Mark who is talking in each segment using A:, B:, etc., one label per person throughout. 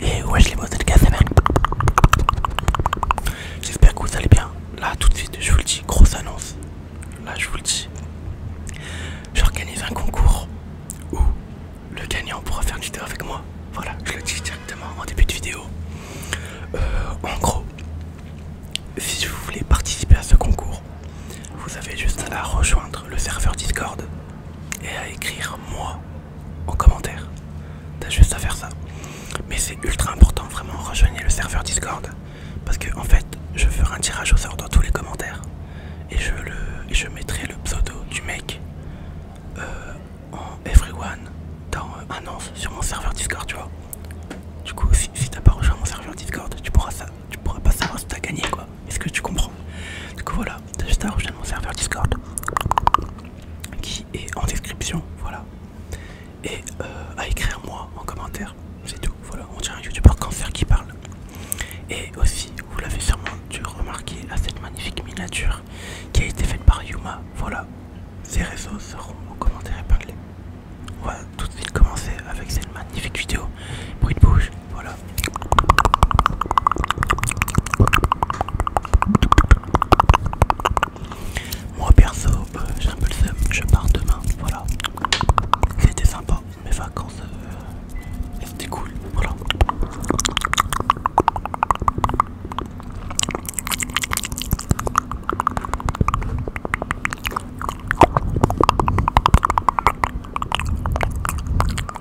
A: Et wesh les mots de J'espère que vous allez bien. Là tout de suite je vous le dis, grosse annonce. Là je vous le dis. J'organise un concours où le gagnant pourra faire une vidéo avec moi. Voilà, je le dis directement en début de vidéo. Euh, en gros, si vous voulez participer à ce concours, vous avez juste à rejoindre le serveur Discord et à écrire moi en commentaire. T'as juste à faire ça. Mais c'est ultra important, vraiment, rejoignez le serveur Discord. Parce que, en fait, je ferai un tirage au sort dans tous les commentaires. Et je, le, je mettrai le pseudo du mec euh, en everyone dans euh, annonce sur mon serveur Discord, tu vois. Du coup, si, t'as pas rejoint mon serveur Discord, tu pourras, tu pourras pas savoir si t'as gagné, quoi. Est-ce que tu comprends Du coup, voilà, mon serveur Discord qui est en description, voilà. Et euh, à écrire moi en commentaire, c'est tout, voilà, on dirait un youtubeur cancer qui parle. Et aussi, vous l'avez sûrement dû remarquer à cette magnifique miniature qui a été faite par Yuma, voilà. Ces réseaux seront en commentaire épinglés. On va tout de suite commencer avec cette magnifique vidéo. Bruit de bouche, voilà. Moi perso, bah, j'ai un peu le seum, je pars demain, voilà. C'était sympa, mes vacances, c'était euh, cool, voilà.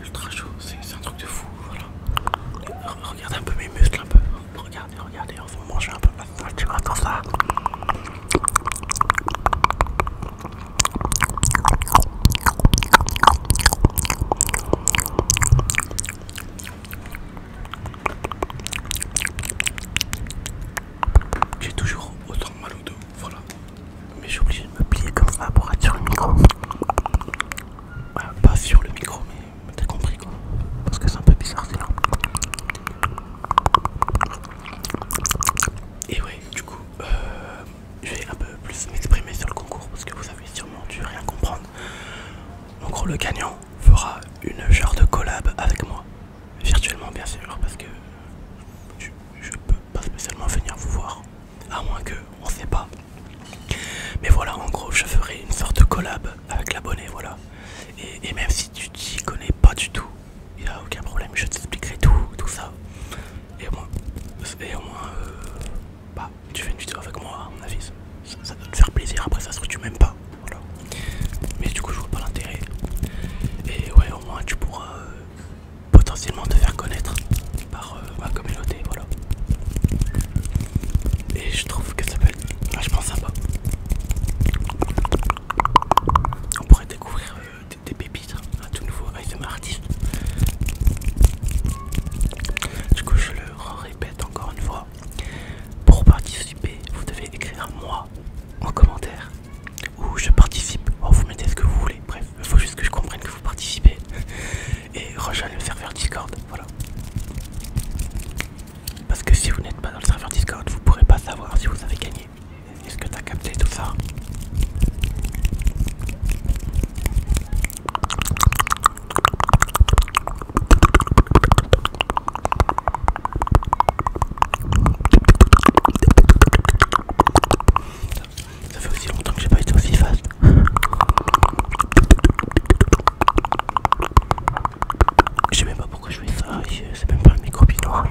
A: ultra chaud, c'est un truc de fou, voilà. Regardez un peu mes muscles, un peu. Regardez, regardez, on va manger un peu. Ah, tu vois, ça. J'ai toujours autant mal au dos, voilà. Mais j'ai obligé de me plier comme ça pour être sur le micro. pas sur le micro, mais t'as compris quoi Parce que c'est un peu bizarre c'est là. Et ouais, du coup, euh, je vais un peu plus m'exprimer sur le concours parce que vous avez sûrement dû rien comprendre. En gros, le gagnant fera une genre de collab avec moi, virtuellement bien sûr, parce que je, peux pas spécialement venir vous voir, à moins que on sait pas. Mais voilà, en gros, je ferai une sorte de collab avec l'abonné, voilà. Et, même si tu t'y connais pas du tout, il n'y a aucun problème, je t'expliquerai tout, tout ça. Et au moins, et au moins euh, bah, tu fais une vidéo avec moi, à mon avis. Ça, doit te faire plaisir, après ça se que tu m'aimes pas. Voilà. Mais du coup, je vois pas l'intérêt. Et ouais, au moins, tu pourras euh, potentiellement te faire connaître bah, euh, ma communauté, voilà. Et je trouve que ça peut être vachement sympa. On pourrait découvrir euh, des, pépites, un tout nouveau ASMR artiste. Du coup, je le répète encore une fois. Pour participer, vous devez écrire moi en commentaire ou je participe. vous mettez ce que vous voulez. Bref, il faut juste que je comprenne que vous participez. et rejoignez le serveur Discord. Voilà. Parce que si vous n'êtes pas dans le serveur Discord, vous pourrez pas savoir si vous avez gagné. Est-ce que t'as capté tout ça ça fait aussi longtemps que j'ai pas été aussi fast. Je sais même pas pourquoi je fais ça, c'est même pas un micro binaural.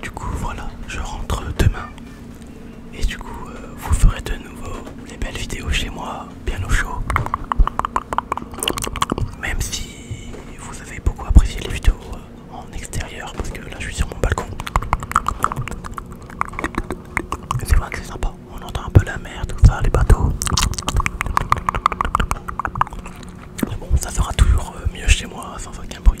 A: Du coup voilà, je rentre demain et du coup, euh, vous ferez de nouveau les belles vidéos chez moi, bien au chaud. Même si vous avez beaucoup apprécié les vidéos euh, en extérieur, parce que là je suis sur mon balcon. C'est vrai que sympa, on entend un peu la mer, tout ça, les bateaux. Mais bon, ça sera toujours euh, mieux chez moi, sans aucun bruit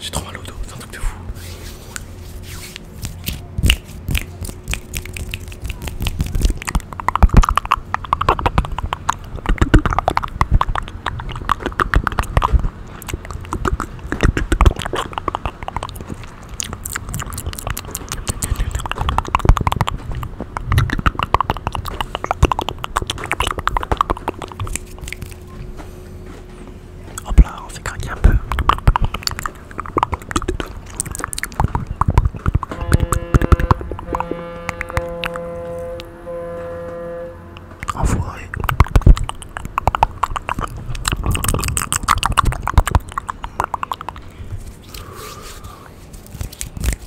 A: J'ai trop mal au dos, un truc de fou. Hop là, on fait craquer un peu.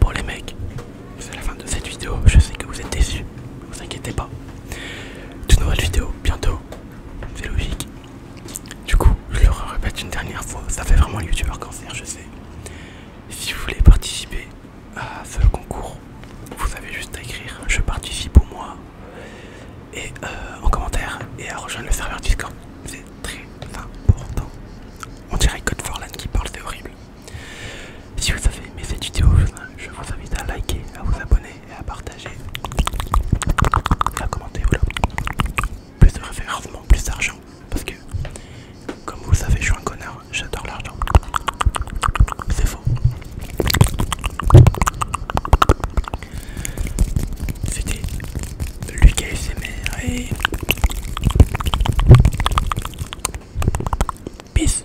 A: Pour les mecs, c'est la fin de cette vidéo, je sais que vous êtes déçus, ne vous inquiétez pas de nouvelles vidéos bientôt, c'est logique. Du coup, je le répète une dernière fois, ça fait vraiment youtubeur cancer, je sais. Si vous voulez participer à ce concours, vous avez juste à écrire je participe au mois et euh, en commentaire et à rejoindre le serveur Discord. C'est très important. On dirait Code Forlan qui parle, c'est horrible. Si vous avez aimé cette vidéo, je vous invite à liker, à vous abonner et à partager, à commenter. Voilà, plus de référencement, plus d'argent. Parce que, comme vous le savez, je suis un connard, j'adore l'argent. C'est faux. C'était Lucas et Peace!